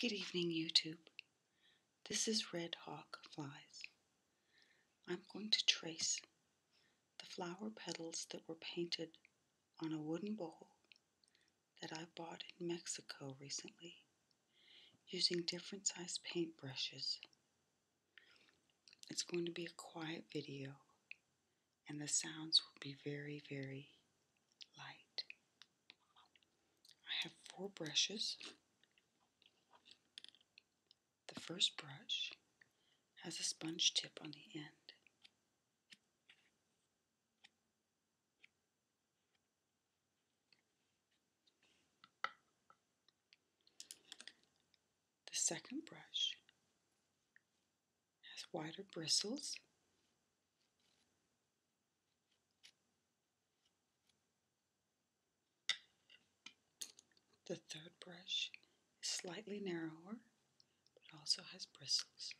Good evening, YouTube. This is Red Hawk Flies. I'm going to trace the flower petals that were painted on a wooden bowl that I bought in Mexico recently using different size paint brushes. It's going to be a quiet video and the sounds will be very, very light. I have four brushes. The first brush has a sponge tip on the end. The second brush has wider bristles. The third brush is slightly narrower, but also has bristles,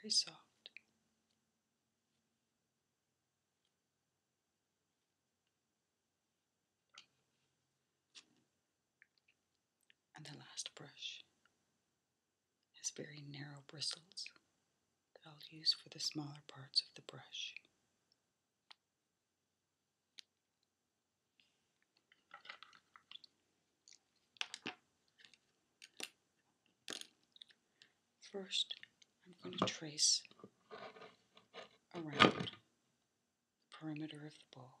very soft. and the last brush has very narrow bristles that I'll use for the smaller parts of the brush. First, I'm going to uh-huh. trace around the perimeter of the bowl.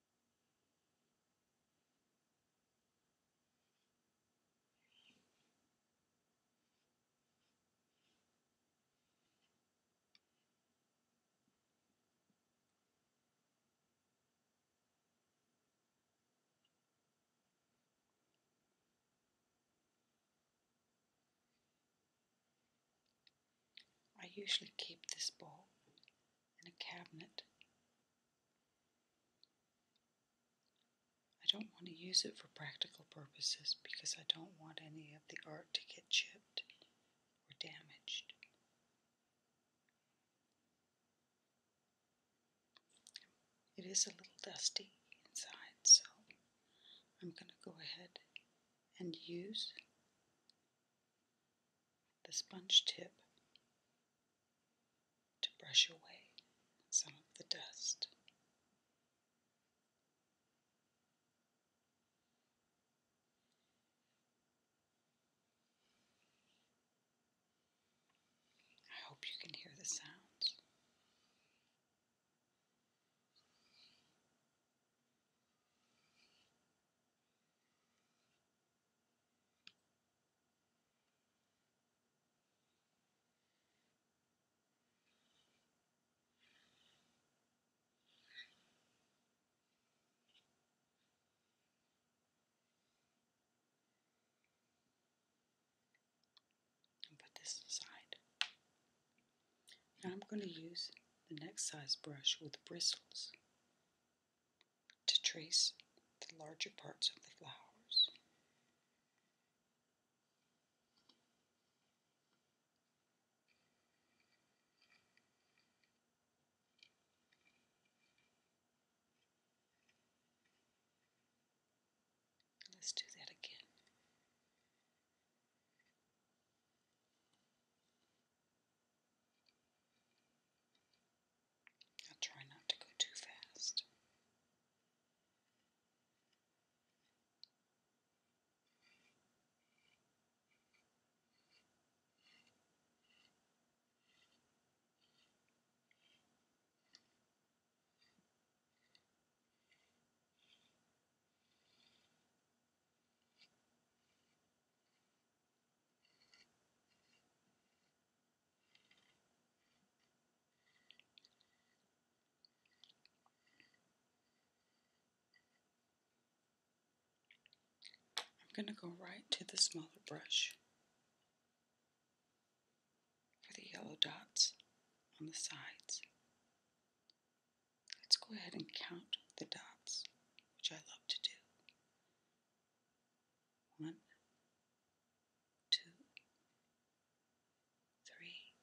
I usually keep this ball in a cabinet. I don't want to use it for practical purposes because I don't want any of the art to get chipped or damaged. It is a little dusty inside, so I'm going to go ahead and use the sponge tip to brush away some of the dust. I hope you can hear the sounds put this aside. Now I'm going to use the next size brush with bristles to trace the larger parts of the flowers. Let's do that again. I'll try not to go too fast. I'm going to go right to the smaller brush for the yellow dots on the sides. Let's go ahead and count the dots, which I love to do. One, two, three,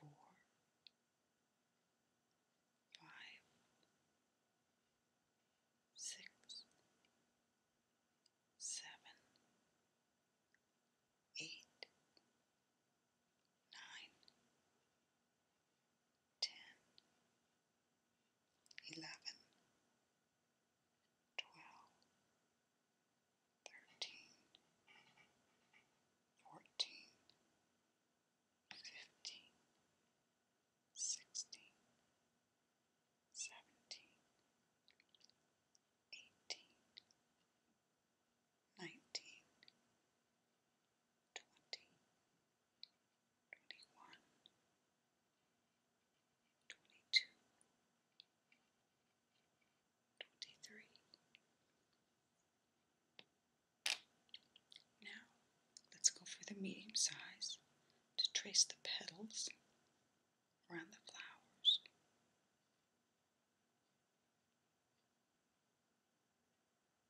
four, five, six, seven, eight, nine, ten, eleven, twelve, thirteen, fourteen, fifteen, sixteen, seventeen, eighteen, nineteen twenty, twenty-one, twenty-two, twenty-three. Now, let's go for the medium size to trace the petals around the flowers.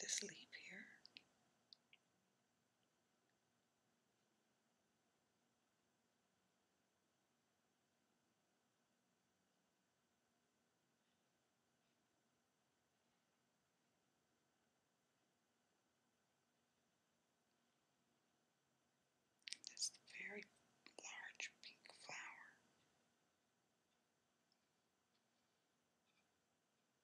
this leaf here. That's very large pink flower.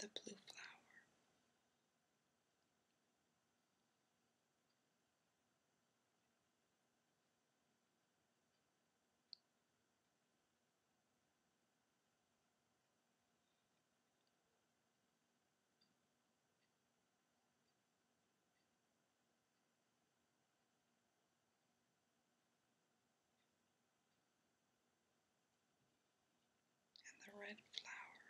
and the blue flower and the red flower.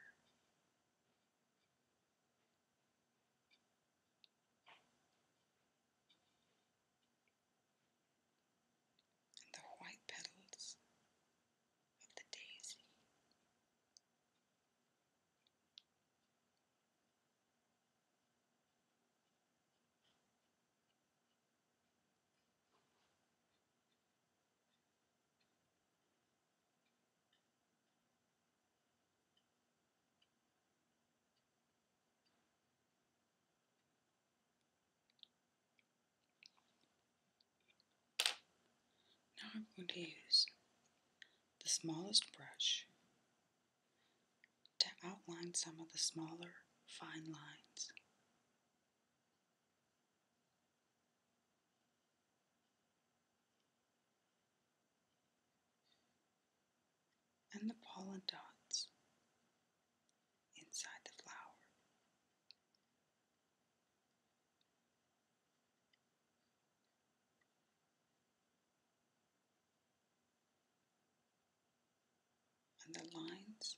And the white petals of the daisy, now I'm going to use the smallest brush to outline some of the smaller fine lines. And the pollen dots inside the flower and the lines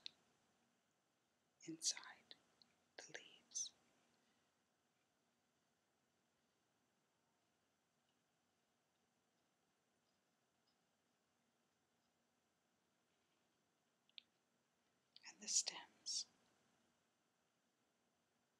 inside the leaves. And the stems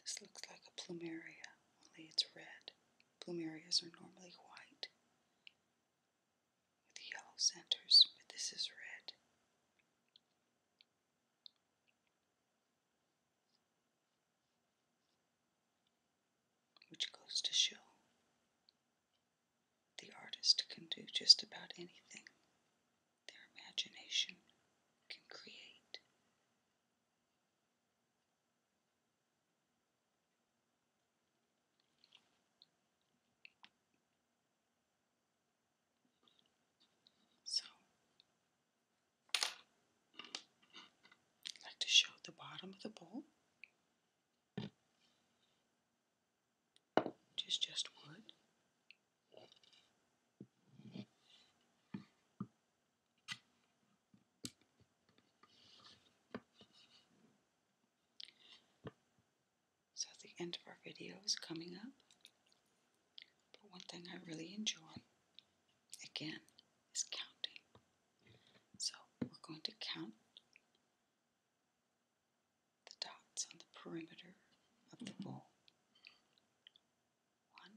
This looks like a plumeria, only it's red. Plumerias are normally white with yellow centers, but this is red. Which goes to show the artist can do just about anything their imagination can create. So I'd like to show the bottom of the bowl. Which is just wood. So at the end of our video is coming up. But one thing I really enjoy, again, is counting. So we're going to count the dots on the perimeter of the bowl. One,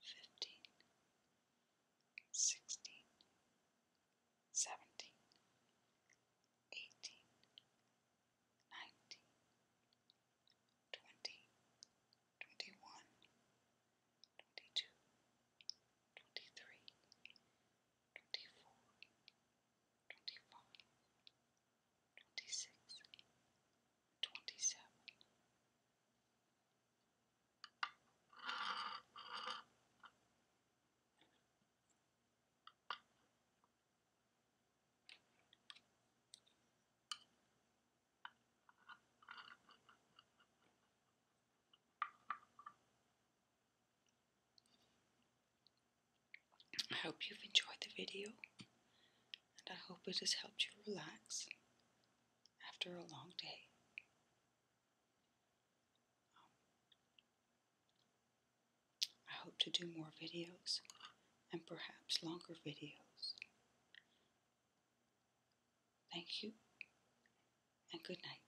fifteen, sixteen, seventeen, eighteen, nineteen, twenty, twenty-one, twenty-two, twenty-three, twenty-four, twenty-five twenty-six, twenty-seven, I hope you've enjoyed the video and I hope it has helped you relax after a long day. Um, I hope to do more videos and perhaps longer videos. Thank you and good night.